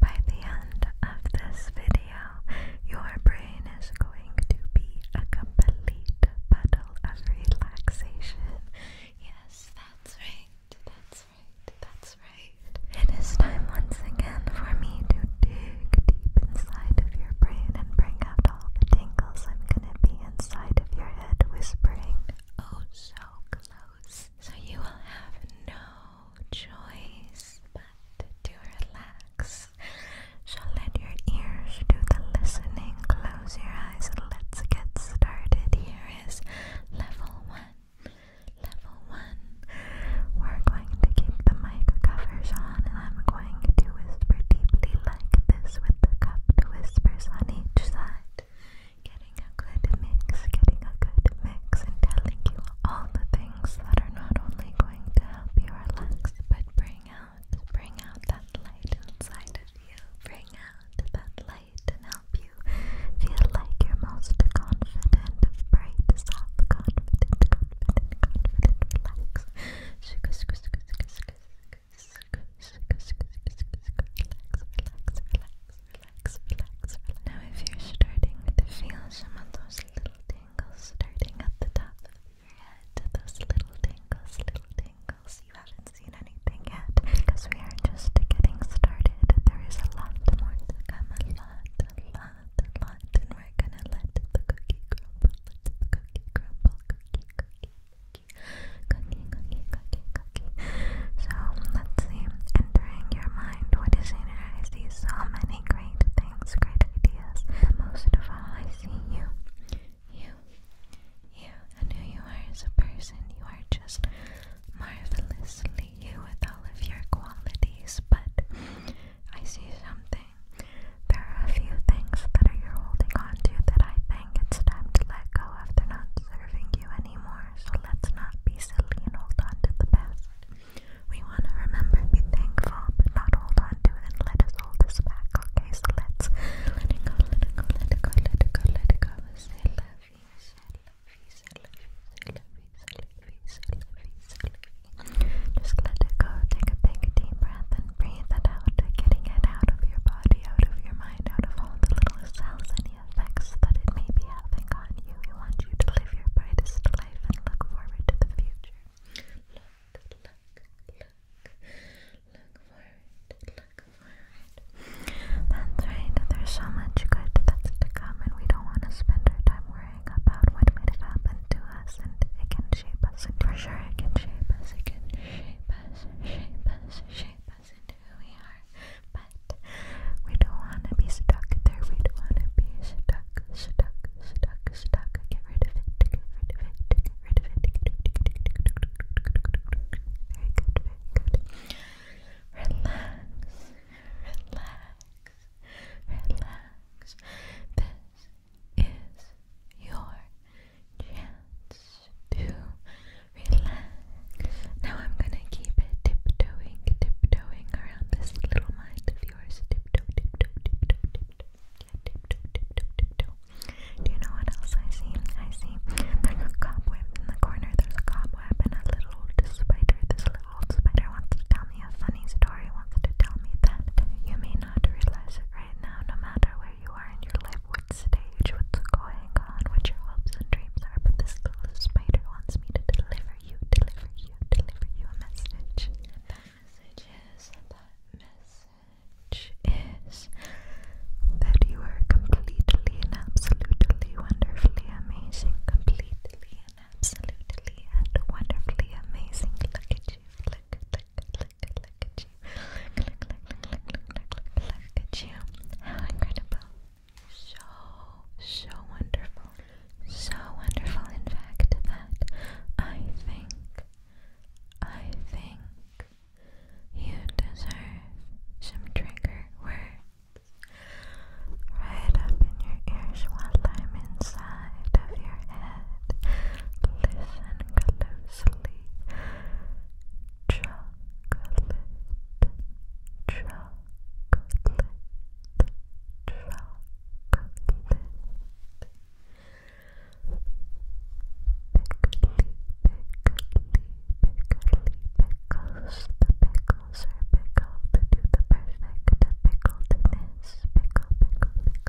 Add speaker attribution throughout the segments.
Speaker 1: By the end of this video, your brain is going to be a complete puddle of relaxation. Yes, that's right. That's right. That's right. It is time once again for me to dig deep inside of your brain and bring out all the tingles I'm going to be inside of your head whispering oh so close so you will have no choice but to relax. So let your ears do the listening. Close your eyes. Let's get started. Here is level one. Level one. We're going to keep the mic covers on and I'm going to whisper deeply like this with the cupped whispers on each side. Getting a good mix, getting a good mix, and telling you all the things that are not only going to help you relax, but bring out, bring out that light inside of you. Bring out that light and help you feel like your most confident, bright, soft, confident, confident, confident, relax. Relax, relax, relax. Now if you're starting to feel some of those little tingles starting at the top of your head, those little tingles, little tingles, you haven't seen anything yet because we are just getting started. There is a lot more to come, a lot, a lot, a lot, and we're gonna let the cookie crumble, let the cookie crumble, cookie, cookie cookie, cookie, cookie, cookie, So let's see. Entering your mind, what is in it? I see so many great things, great ideas. Most of all, I see you, you, you, and who you are as a person. You are just marvelously you with all of your qualities, but I see something. There are a few things that you're holding on that I think it's time to let go of. They're not serving you anymore, so let's not be silly and hold on to the past. We want to remember, be thankful, but not hold on to it let us hold this back, okay? So let's let it go, let it go, let it go, let it go, let it go. Say love you, say love you, say love you, say love you, Just let it go. Take a big deep breath and breathe it out, getting it out of your body, out of your mind, out of all the little ourselves any effects that it may be having on you. We want you to live your brightest life and look forward to the future. Look, look, look, look forward, look forward. That's right, there's so much good that's to come, and we don't want to spend our time worrying about what might have to us, and it can shape us, for sure it can shape us, it can shape us, shape us, shape who we are, but we don't want to be stuck there. We don't want to be stuck, stuck, stuck, stuck. Get rid of it, get rid of it, get rid of it. Very good, very good. Relax, relax, relax. This is your chance to relax. Now I'm gonna keep it tiptoeing, tiptoeing around this little mind of yours. Tiptoe, tiptoe, tiptoe, tiptoe.
Speaker 2: Yeah, tiptoe, tiptoe, tiptoe. Do you know what else I see? I see a cobweb in the corner. There's a cobweb and a little spider. This little spider wants to tell me a funny story. Wants to tell me that you may not realize it right now, no matter where where you are in your life, what stage, what's going on, what your hopes and dreams are, but this little spider wants me to deliver you, deliver you, deliver you a message. And that message is, that message is that you are completely and absolutely wonderfully amazing, completely and absolutely and wonderfully amazing. Look at you, look, look, look, look, at you. look, look, look, look, look, look at you. How incredible. So, so wonderful. So wonderful, in fact, that I think, I think you deserve some trigger words right up in your ears while I'm inside of your head. Listen closely chocolate, chocolate, chocolate. Pickly, pickly, pickly pickles. The pickles are pickled to the perfect pickledness. Pickle, pickle, pickle, pickle,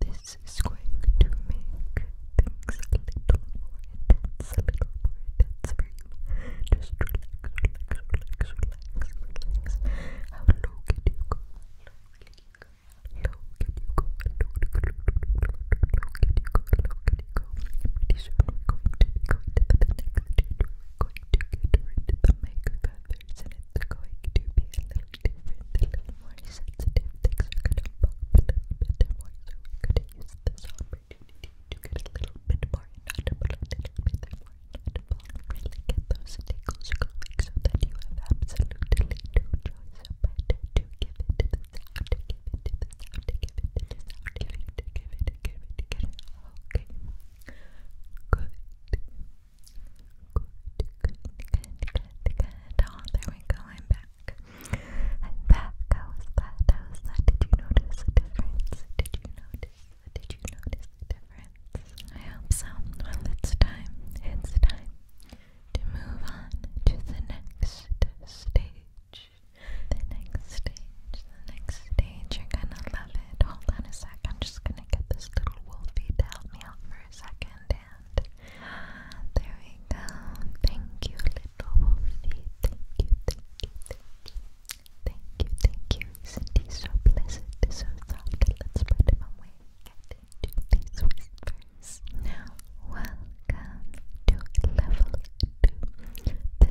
Speaker 3: This is going to make things a little more intense, a little more intense for you. Just relax, relax, relax, relax, relax. How low can you go? Low can you go? Low can you go? Low can you go? Low can you go? Pretty soon we're going to be going to the next stage. We're going to get rid of it's going to be a little different, a little more sensitive. Things are going to pop a little bit more, so we're going to use this opportunity to get a little bit more inaudible, a little bit more inaudible, and really get those tickles going so that you have absolutely no choice give it to the sound, give it to the sound, give it to the sound, give it, to give it, to give it, to give it. Okay. Good. Good, good, good, good. Oh, there we go. I'm back. I'm back. I was glad. I was glad. Did you notice a difference? Did you notice? Did you notice the difference? I hope so. Well, it's time. It's time to move on to the next stage. The next stage. The next stage. You're gonna love it. Hold on a sec. I'm just gonna get this little wolfie to help me out for a second. And there we go. Thank you, little wolfie. Thank you, thank you, thank you. Thank you, Isn't he so pleasant? So soft. Let's put him away. Get into these whispers. Now, welcome to level two.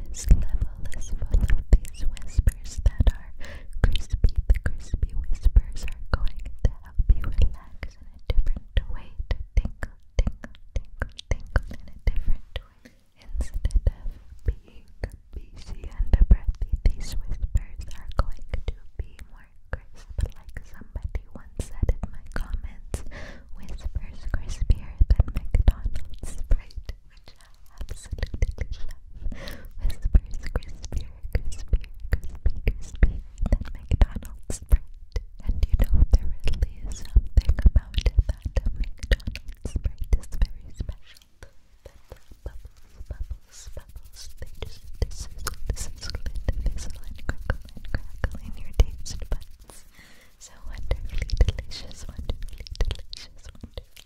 Speaker 3: This level is full of whispers whispers that are crispy. The crispy whispers are going to help you relax in a different way, to tingle, tingle, tingle, tingle in a different way. Instead of being busy and breathy, these whispers are going to be more crisp. Like somebody once said in my comments, whispers crispier than McDonald's Sprite, absolutely love Whispers crispier, crispier, crispy, crispier than McDonald's Sprite. And you know there something about it that McDonald's Sprite is very special. the bubbles, bubbles, bubbles, they just sizzle, sizzle, and fizzle and crinkle and your taste buds. So wonderfully delicious, wonderfully delicious, wonderfully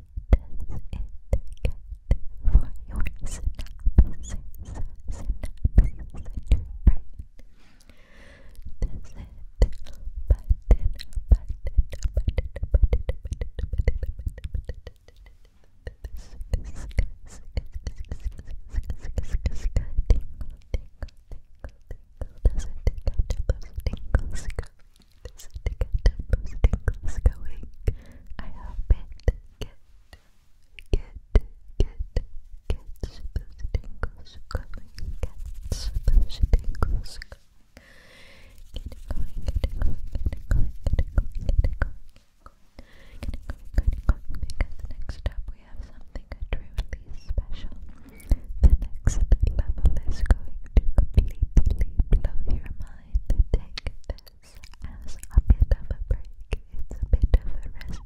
Speaker 3: does it get for your synapses, synapses in your brain? Does it button, button, button, button, button, button, button, button, button, button, button, button, just to going. I get, get, get, Get it going, get it going, get it going, get it going, get it going. because next up we have something truly special. The next level is going to completely blow your mind going to take this as a bit of a break. It's a bit of a respite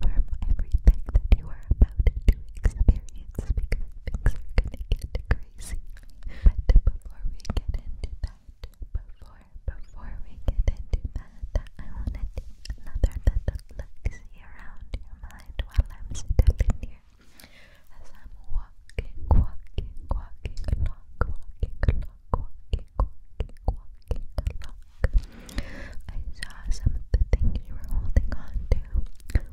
Speaker 3: from everything that you are about to experience because things are gonna get crazy. But before we get into that, before before we get into that, I want another little look around your mind while I'm still here. As i saw some of the things you were holding on to.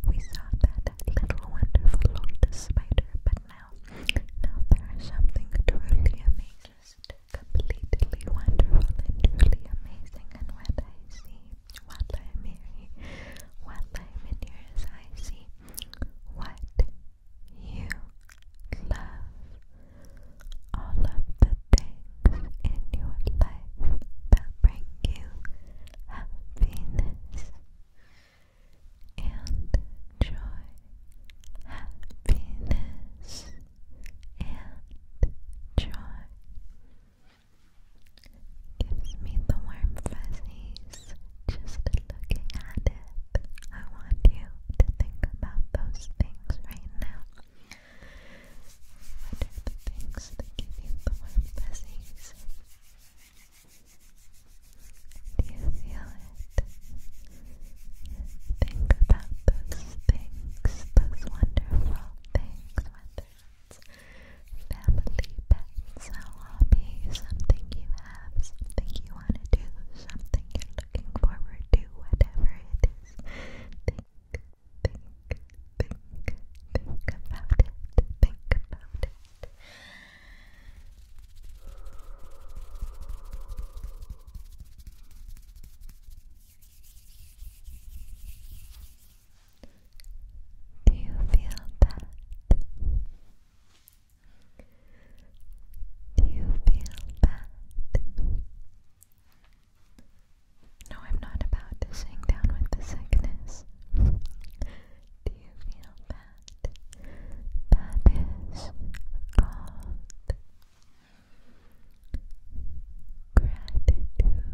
Speaker 3: We saw that little wonderful lotus spider, but now, now there is something truly amazing. completely wonderful truly amazing and what I see while I'm here, I'm in I see what you love, all of the things in your life that bring you happiness and joy, happiness and joy. Gives me the warm fuzzies just looking at it. I want you to think about those things right now. What are the things that give you the warm fuzzies? Do you feel it? Think about those things, those wonderful things, family, pets, hobby, something you have, something you want to do, something you're looking forward to, whatever it is. Think, think, think, think about it, think about it. Do you feel that? Do you feel bad? No, I'm not about to sink down with the sickness. Do you feel bad? That is called gratitude. Gratitude.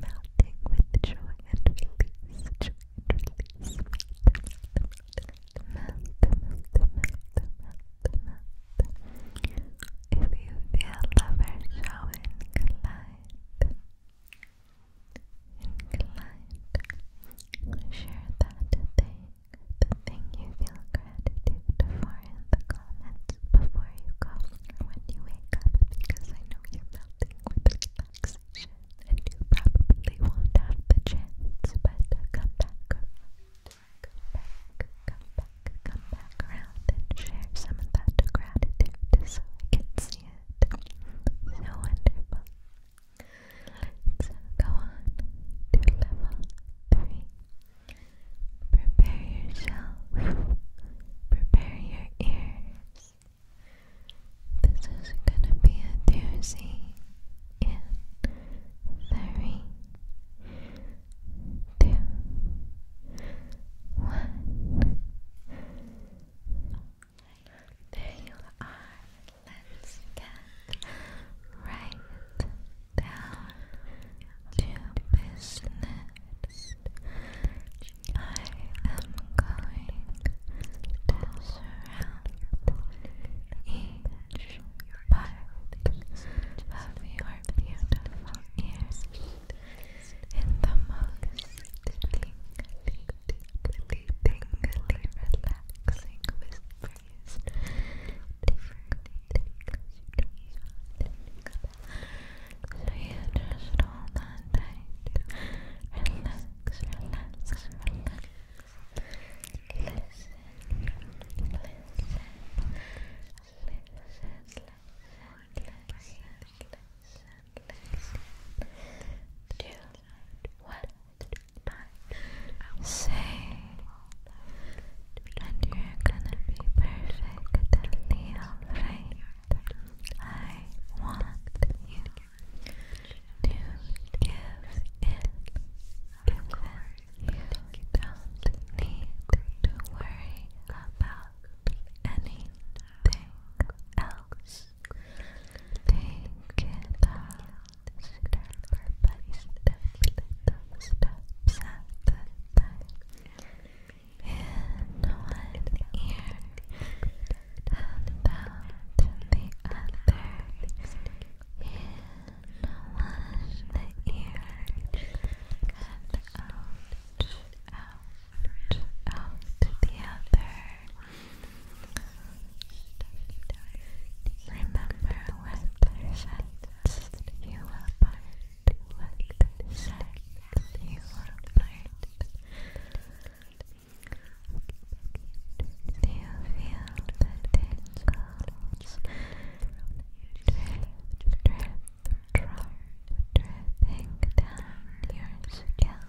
Speaker 3: melting with joy and release, If you feel lover show, inclined, inclined, share that thing, the thing you feel gratitude for in the comments before you go or when you wake up because I know you're melting with relaxation and you probably won't have the chance, but come back come back, come back, come back around and share some of that gratitude so I can see it. So wonderful. Let's go on to level 3. Prepare yourself. Prepare your ears. This is gonna be a doozy in three, two, one. There you are. Let's get right down to business. I am going to surround each part of your beautiful ears in the most tingly, tingly, tingly relaxing whispers. So you just hold on tight. Relax, relax, relax. Listen, listen, listen, listen, listen, listen. Do what I say and you're gonna be perfectly alright. I want you to give in because you don't need to worry about anything else. Take it out step by step, little steps at in one ear and out in the other in one ear and out, out, out the other remember what I said just you apart, what set you apart. Do you feel the tingles drip, drip, drop, dripping down your scalp?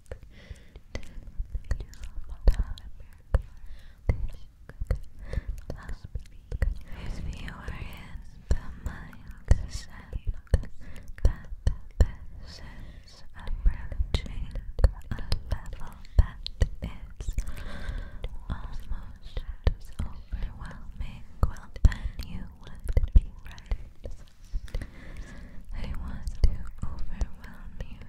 Speaker 3: If you are in the mindset that this is approaching a level that is almost overwhelming, well then you would be right. I want to overwhelm you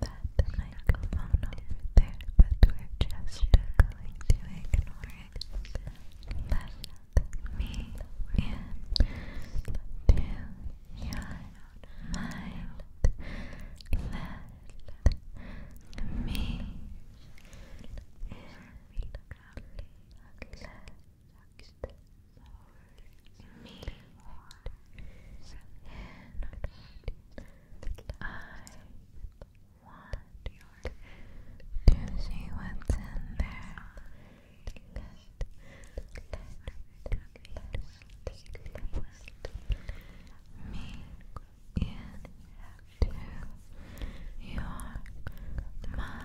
Speaker 3: that microphone over there, but we're just going to ignore Let me in your mind. Let me in. I want to see what's in there. me into your mind.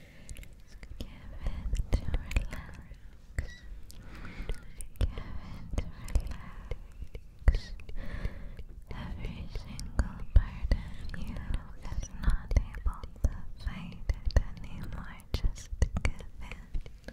Speaker 3: Give it to relax. Give it relax. Every single part of you is not able to fight anymore. Just give it.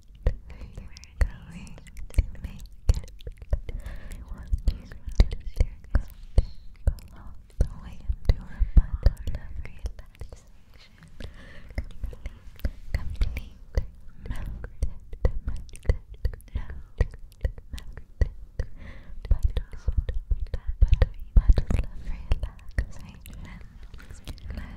Speaker 3: going to make it. I want you to tingle, tingle the way into her bottom of relaxation. Complete, complete, melted, melted, melted, melted. Butterfly, butterfly, relaxation. let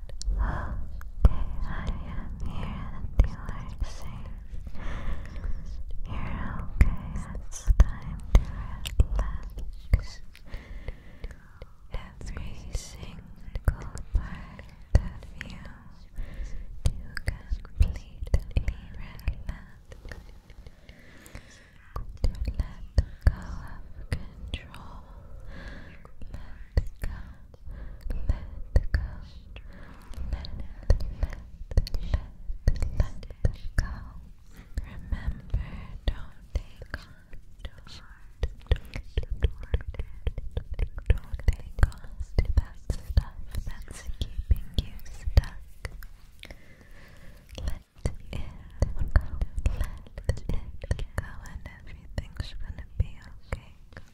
Speaker 3: Okay, I am here that you are You're okay, it's time to relax. Every single part of you to completely relax. let go of control, let go, let, let, let, let go. Remember, don't take on too hard, don't take on to that stuff that's keeping you stuck. Let it go, let it go, and everything's gonna be okay.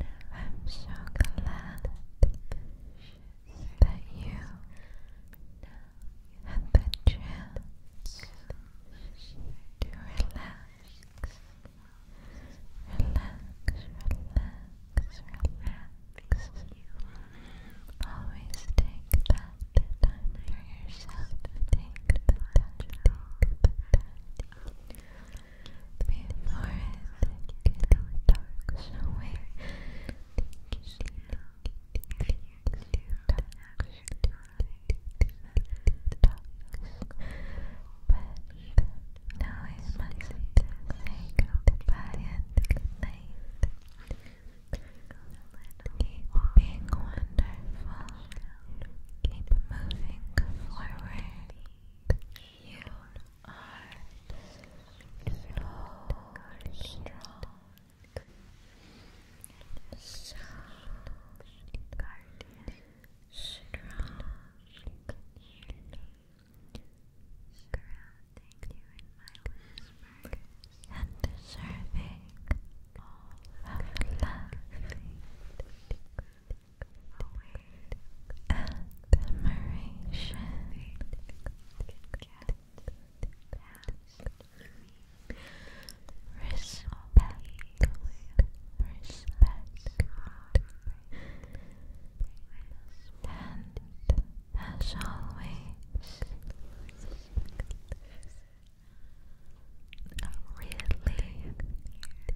Speaker 3: Now I'm so glad that you had the chance to relax, relax, relax, relax. Always take that time for yourself. Take the time, take the time before it gets dark. So where but now I must say goodbye and good night. Keep being wonderful. Keep moving forward. You are so strong. So guardian. Strong. Surrounding you in my whispers and deserving all of love admiration can respect, and as always, really